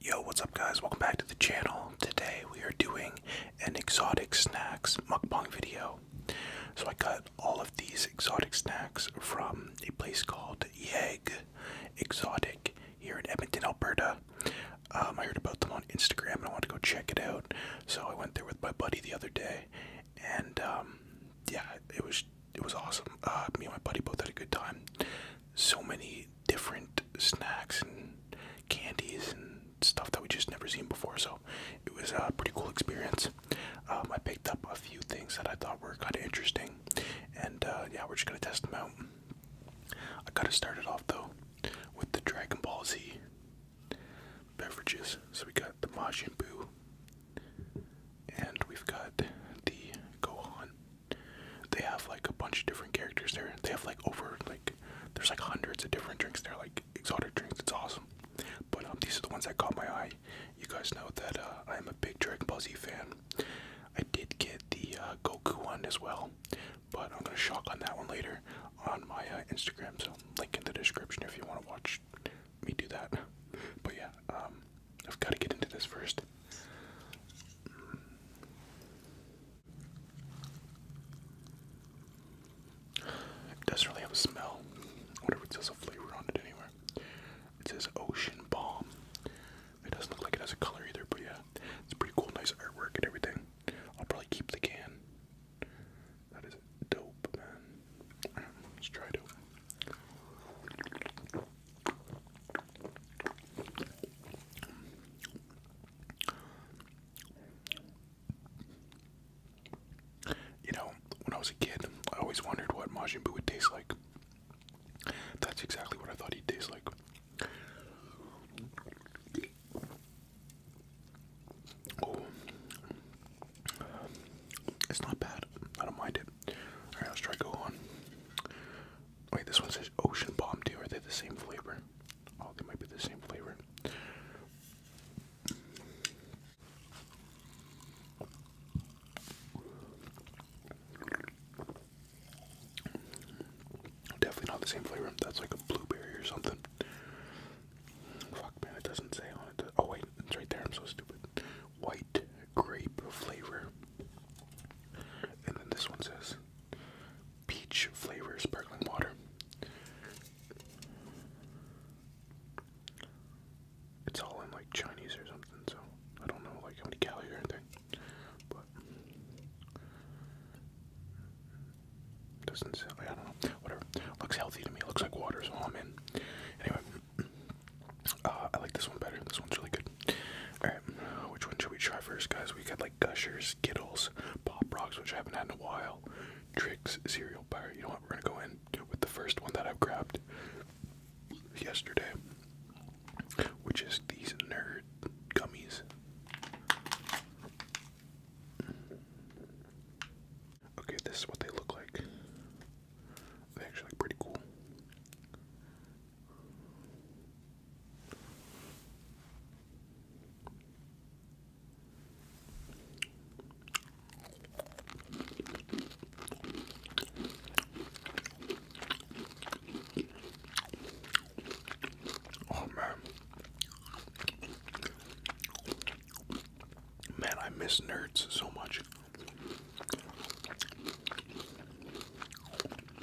Yo, what's up guys? Welcome back to the channel. Today we are doing an exotic snacks mukbang video. So I got all of these exotic snacks from a place called Yeg Exotic here in Edmonton, Alberta. Um, I heard about them on Instagram and I wanted to go check it out. So I went there with my buddy the other day and um, yeah, it was it was awesome. Uh, me and my buddy both had a good time so many different snacks and candies and stuff that we just never seen before. So it was a pretty cool experience. Um, I picked up a few things that I thought were kind of interesting, and uh, yeah, we're just gonna test them out. I gotta start it off though with the Dragon Ball Z beverages. So we got the Majin Buu, and we've got the Gohan. They have like a bunch of different characters there. They have like over like there's like hundreds of different drinks there, like exotic drinks. It's awesome. But um, these are the ones that caught my eye. You guys know that uh, I'm a big Dragon Ball Z fan. I did get the uh, Goku one as well, but I'm gonna shock on that one later on my uh, Instagram. So link in the description if you want to watch me do that. But yeah, um, I've got to get into this first. It doesn't really have a smell. I wonder if it says a flavor on it anywhere. It says Ocean Balm. It doesn't look like it has a color either, but yeah, it's pretty cool, nice artwork and everything. I'll probably keep the can. That is dope, man. Let's try it out. You know, when I was a kid, I always wondered what Majin Buu would taste like. That's exactly what I thought he'd taste like. Oh. it's not bad. I don't mind it. All right, let's try Gohan. Wait, this one's Ocean Bomb too. Are they the same flavor? Oh, they might be the same flavor. Definitely not the same flavor. That's like a blueberry or something. Fuck man, it doesn't say on it. Oh wait, it's right there. I'm so stupid. White grape flavor. And then this one says peach flavor sparkling water. It's all in like Chinese or something, so I don't know like how many calories or anything. But doesn't sound I don't know. Whatever. Looks healthy to me. Looks like water, so I'm in. Anyway, uh, I like this one better. This one's really good. Alright, which one should we try first, guys? We got like Gushers, Skittles, Pop Rocks, which I haven't had in a while, Tricks, Cereal Bar. You know what? We're gonna go in with the first one that I've grabbed yesterday, which is these Nerd Gummies. Okay, this is what they look like. They actually look pretty cool. Oh man. Man, I miss nerds so much.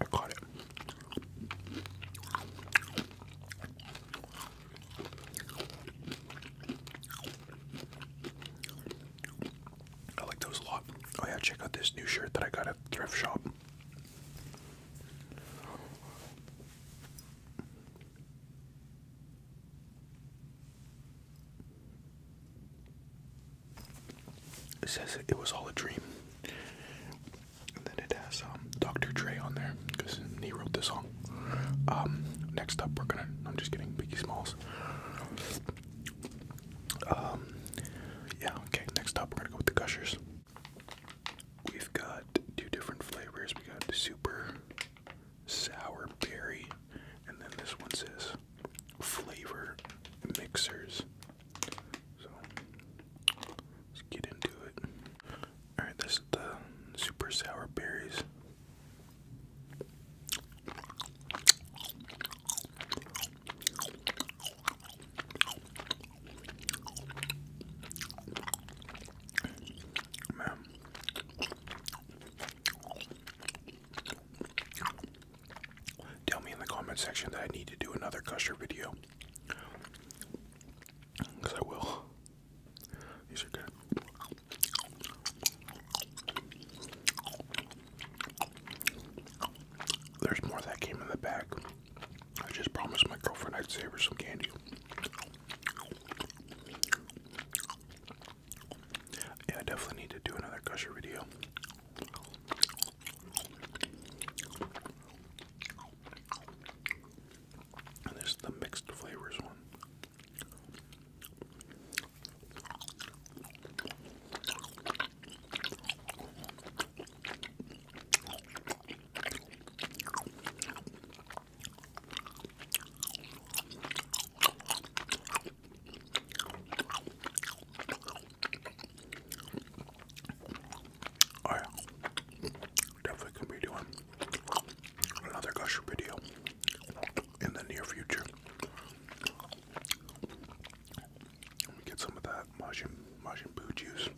I got it. I like those a lot. Oh yeah, check out this new shirt that I got at thrift shop. It says it was all a dream. And then it has um, Dr. Dre on there because he wrote this song. Um, next up, we're gonna. I'm just kidding, Biggie Smalls. Um, yeah, okay, next up, we're gonna go with the Gushers. We've got two different flavors. We got super sour berry, and then this one says flavor mixers. So let's get into it. Alright, this is the super sour berries. Tell me in the comment section that I need to do another Gusher video. Because I will. These are good. There's more that came in the bag. I just promised my girlfriend I'd save her some candy. Yeah, I definitely need to do another Gusher video. And there's the mixed flavors one. I oh, definitely can be doing another gusher video in the near future. Let me get some of that Majin, Majin Buu juice.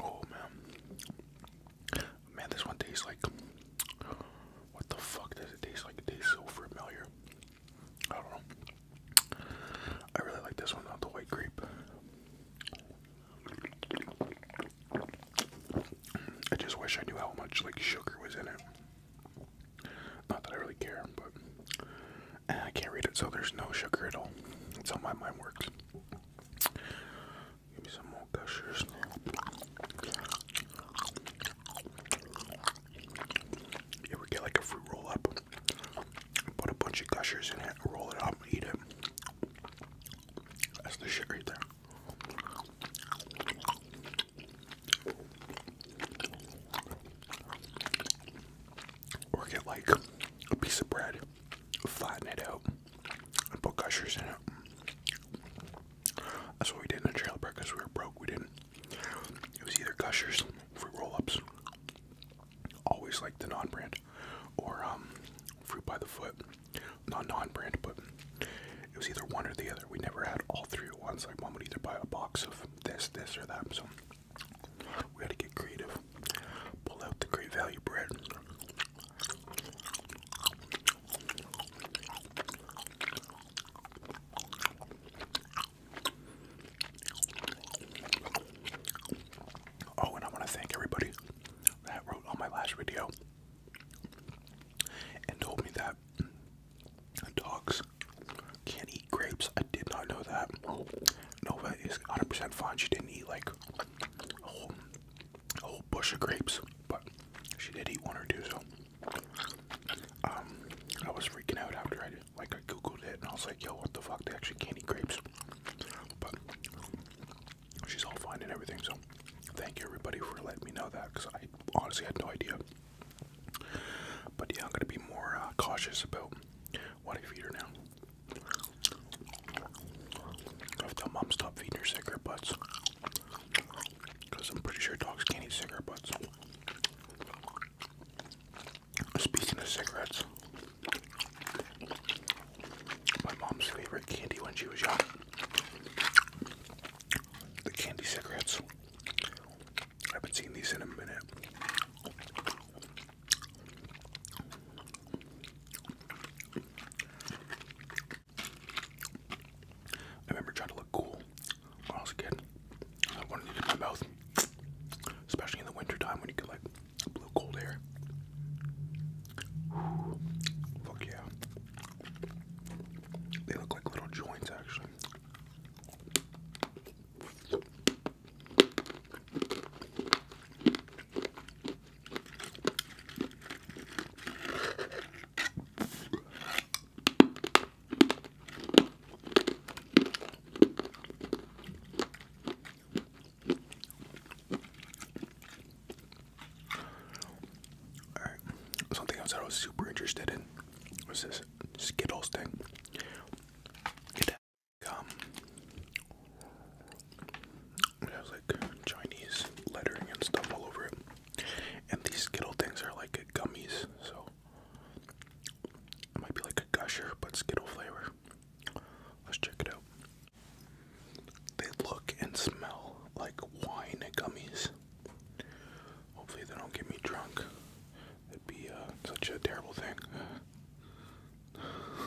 Oh man, Man, this one tastes like. What the fuck does it taste like? It tastes so familiar. I don't know. I really like this one, not the white grape. I just wish I knew how much like sugar was in it. Not that I really care, but eh, I can't read it, so there's no sugar at all. That's how my mind works. Give me some more gushers now. You get like a fruit roll up? Put a bunch of gushers in it, roll it up, and eat it. That's the shit right there. Or get like a piece of bread, flatten it out, and put gushers in it. That's what we did in a trailer park because we were broke. We didn't. It was either Gushers fruit roll-ups, always like the non-brand, or um, fruit by the foot, not non-brand, but it was either one or the other. We never had all three at once. Like mom would either buy a box of this, this, or that. So we had to get creative. Pull out the great value bread. Oh, and I want to thank everybody that wrote on my last video and told me that dogs can't eat grapes. I did not know that. Nova is 100% fine. She didn't eat like a whole, a bush of grapes, but she did eat one or two, so um, I was freaking out after I like I googled it and I was like, yo, what the fuck? They actually can't eat grapes. But she's all fine and everything. So thank you everybody for letting me know that because I honestly had no idea. But yeah, I'm gonna be more uh, cautious about what I feed her now. If the mom stopped feeding her cigarette butts, because I'm pretty sure dogs can't eat cigarette butts. Speaking of cigarettes, my mom's favorite candy when she was young the candy cigarettes. I haven't seen these in a minute. I remember trying to look cool when I was a kid. I wanted it in my mouth, especially in the wintertime when you could like blow cold air. Fuck yeah. They look like little joints actually. All right. Something else that I was super interested in was this Skittles thing. Um, it has like Chinese lettering and stuff all over it. And these Skittle things are like gummies, so it might be like a gusher, but Skittle flavor. Let's check it out. They look and smell like wine gummies. Hopefully, they don't get me drunk. it would be uh, such a terrible thing.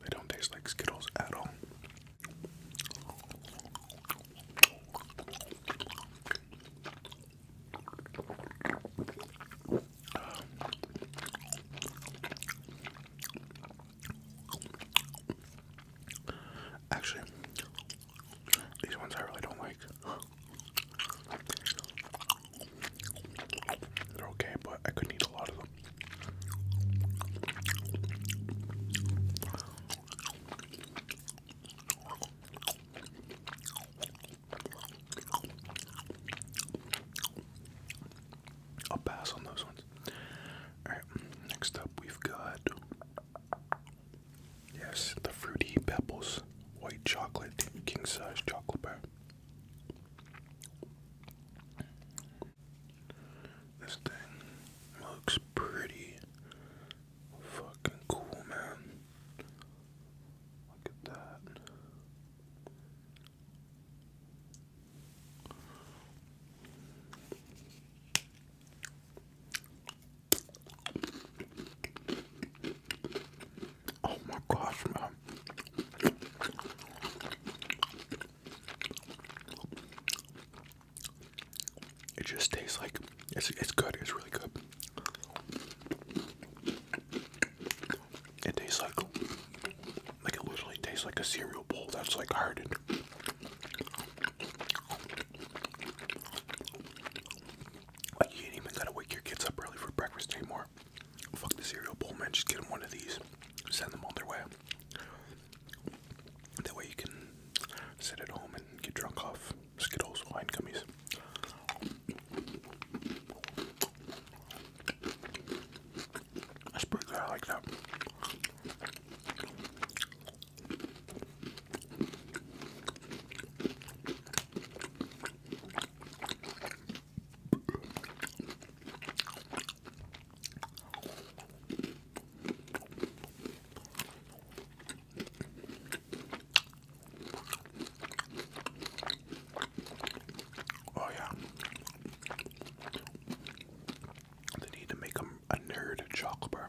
They don't taste like Skittles at all. actually, these ones I really don't like. They're okay, but I could eat a lot of them. I'll pass on those ones. Alright, next up we've got. Yes, the Fruity Pebbles White Chocolate King Size Chocolate Bar. This thing looks pretty fucking cool, man. Look at that. Oh my gosh, man. It just tastes like it's it's good. It's really good. It tastes like like it literally tastes like a cereal bowl that's like hardened. Like you ain't even gotta wake your kids up early for breakfast anymore. Fuck the cereal bowl, man. Just get them one of these. Send them on their way. That way you can sit at home and get drunk off Skittles, wine gummies. That's pretty good. I like that. Oh, yeah. They need to make them a nerd chocolate bar.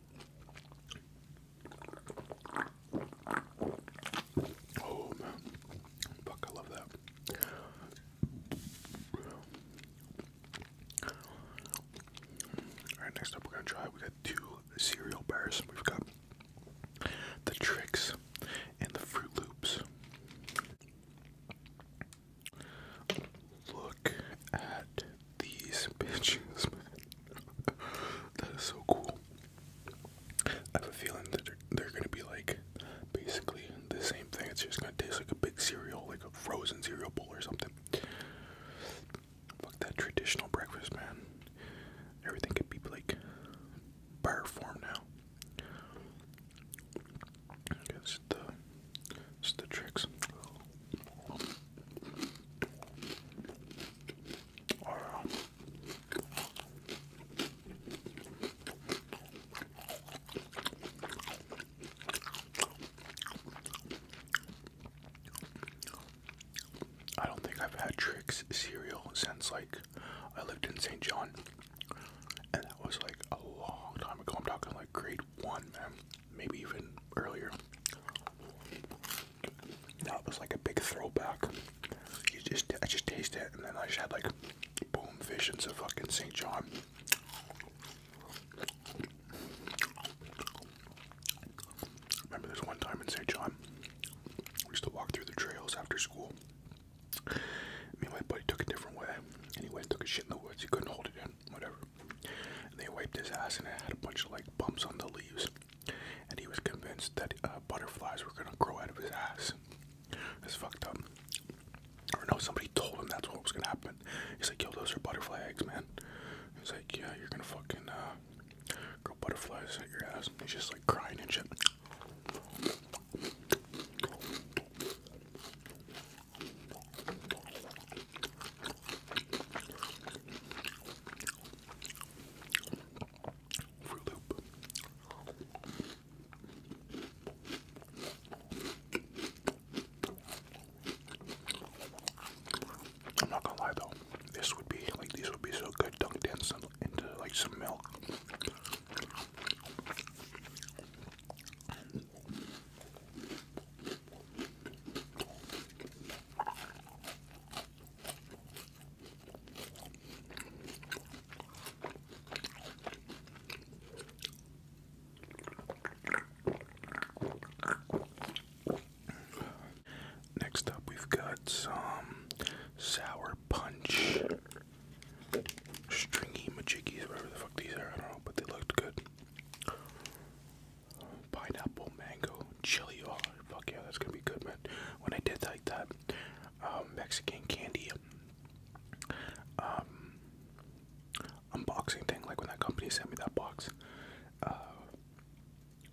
Oh man, fuck! I love that. All right, next up we're gonna try. We got two cereal bars. We've got the Tricks and the Fruit Loops. Look at these bitches, that is so cool. I have a feeling that they're, gonna be like basically the same thing. It's just gonna taste like a big cereal, like a frozen cereal bowl or something. Fuck that traditional breakfast, man. Everything could be like bar form now. Okay, it's the, it's the tricks. I don't think I've had Trix cereal since like I lived in St. John, and that was like a long time ago. I'm talking like grade one, man, maybe even earlier. That was like a big throwback. You just, I just tasted it, and then I just had like boom visions of fucking St. John. Remember this one time in St. John, we used to walk through the trails after school. Me and my buddy took a different way. Anyway, took a shit in the woods. He couldn't hold it in, whatever. And they wiped his ass, and it had a bunch of like bumps on the leaves and he was convinced that uh, butterflies were gonna grow out of his ass. It's fucked up. I don't know. somebody told him that's what was gonna happen. He's like, yo, those are butterfly eggs, man. He's like, yeah, you're gonna fucking uh, grow butterflies out your ass. And he's just like crying and shit. I'm not gonna lie though, this would be like these would be so good dunked in some into like some milk. Next up, we've got some sour punch stringy majiggies, whatever the fuck these are. I don't know, but they looked good pineapple mango chili. Oh fuck yeah, that's gonna be good, man. When I did like that um, Mexican candy um, unboxing thing, like when that company sent me that box, uh,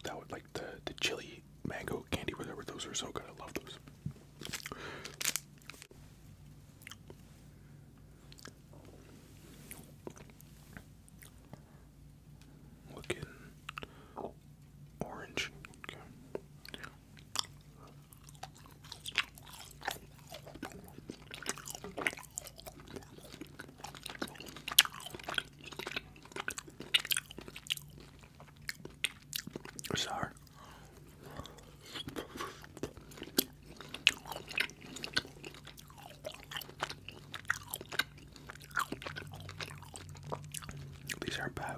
that would like the the chili mango candy, whatever. Those are so good. I love those looking orange. Okay. These aren't bad.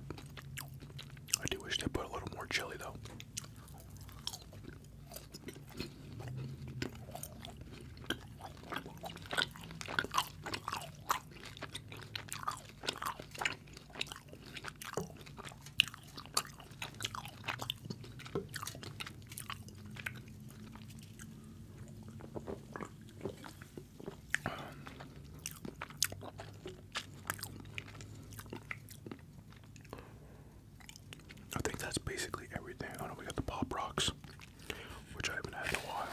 I do wish they put a little more chili though. Um, I think that's basically everything. Oh no, we got the Pop Rocks, which I haven't had in a while.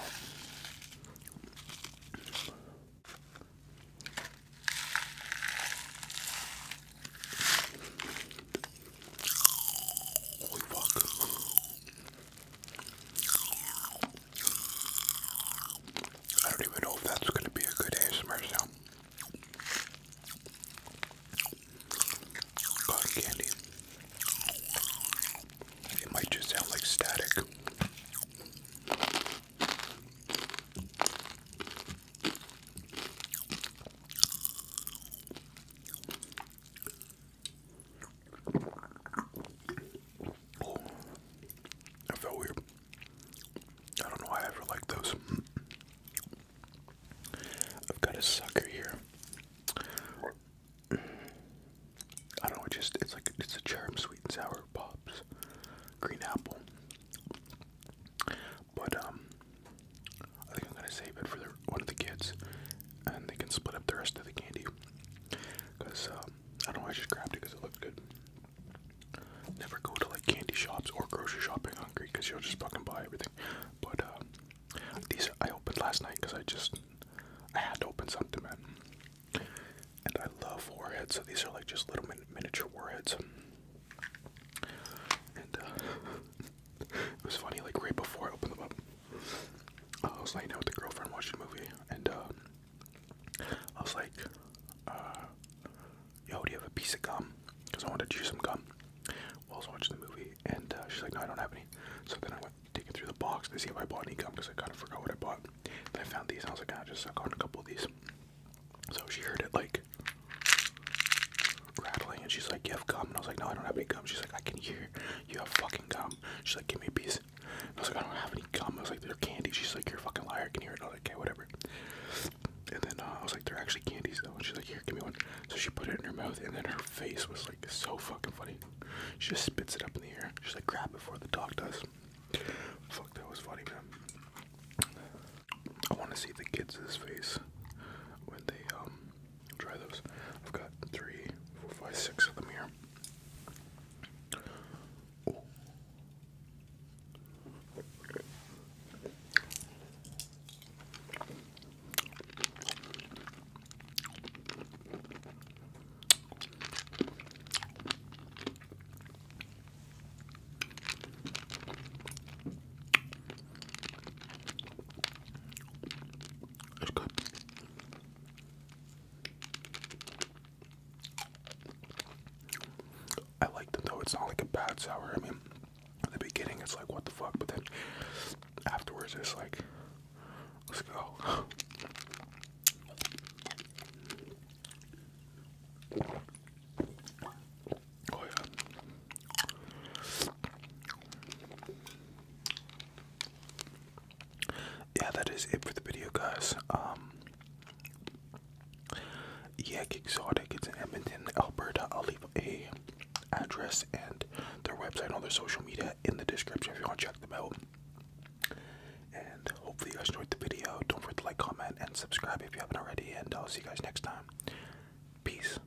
I don't even know if that's going to be a good ASMR sound. Cotton candy. It might just sound like static. Oh, felt weird. I don't know why I ever like those. I've got a sucker here. I don't know, it just it's like it's a charm sweet sour pops. Green apple. But um I think I'm gonna save it for the one of the kids, and they can split up the rest of the candy. Cause uh, I don't know, I just grabbed it because it looked good. Never go to like candy shops or grocery shopping hungry, cause you'll just fucking buy everything. But uh, these I opened last night, cause I just I had to open something, And I love warheads, so these are like just little miniature warheads. And uh, it was funny, like right before I opened them up, uh, I was laying out with the girlfriend watching a movie, and uh, I was like, uh, "Yo, do you have a piece of gum?" Because I wanted to chew some gum while I was watching the movie, and uh, she's like, "No, I don't have any." So then I went digging through the box to see if I bought any gum because I kind of forgot what I bought. Then I found these, and I was like, "I ah, just suck on a couple of these." So she heard it like rattling, and she's like, "You have gum?" And I was like, "No, I don't have any gum." She's like, "I can hear you have fucking gum. She's like, give me a piece. I was like, I don't have any gum. I was like, they're candy. She's like, you're a fucking liar. I can hear it. I was like, okay, whatever. And then uh, I was like, they're actually candies though. she's like, here, give me one. So she put it in her mouth, and then her face was like so fucking funny. She just spits it up in the air. She's like, grab it before the dog does. Fuck, that was funny, man. I want to see the kids' face when they um i try those. I've got three, four, five, six of them here. It's good. I like them though. It's not like a bad sour. I mean, at the beginning it's like what the fuck, but then afterwards it's like, let's go. Oh yeah yeah, that is it for the video, guys. Um, yeah, Exotic, it's in Edmonton, Alberta. I'll leave a address and their website on their social media in the description if you want to check them out. And hopefully you guys enjoyed the video. Don't forget to like, comment, and subscribe if you haven't already. And I'll see you guys next time. Peace.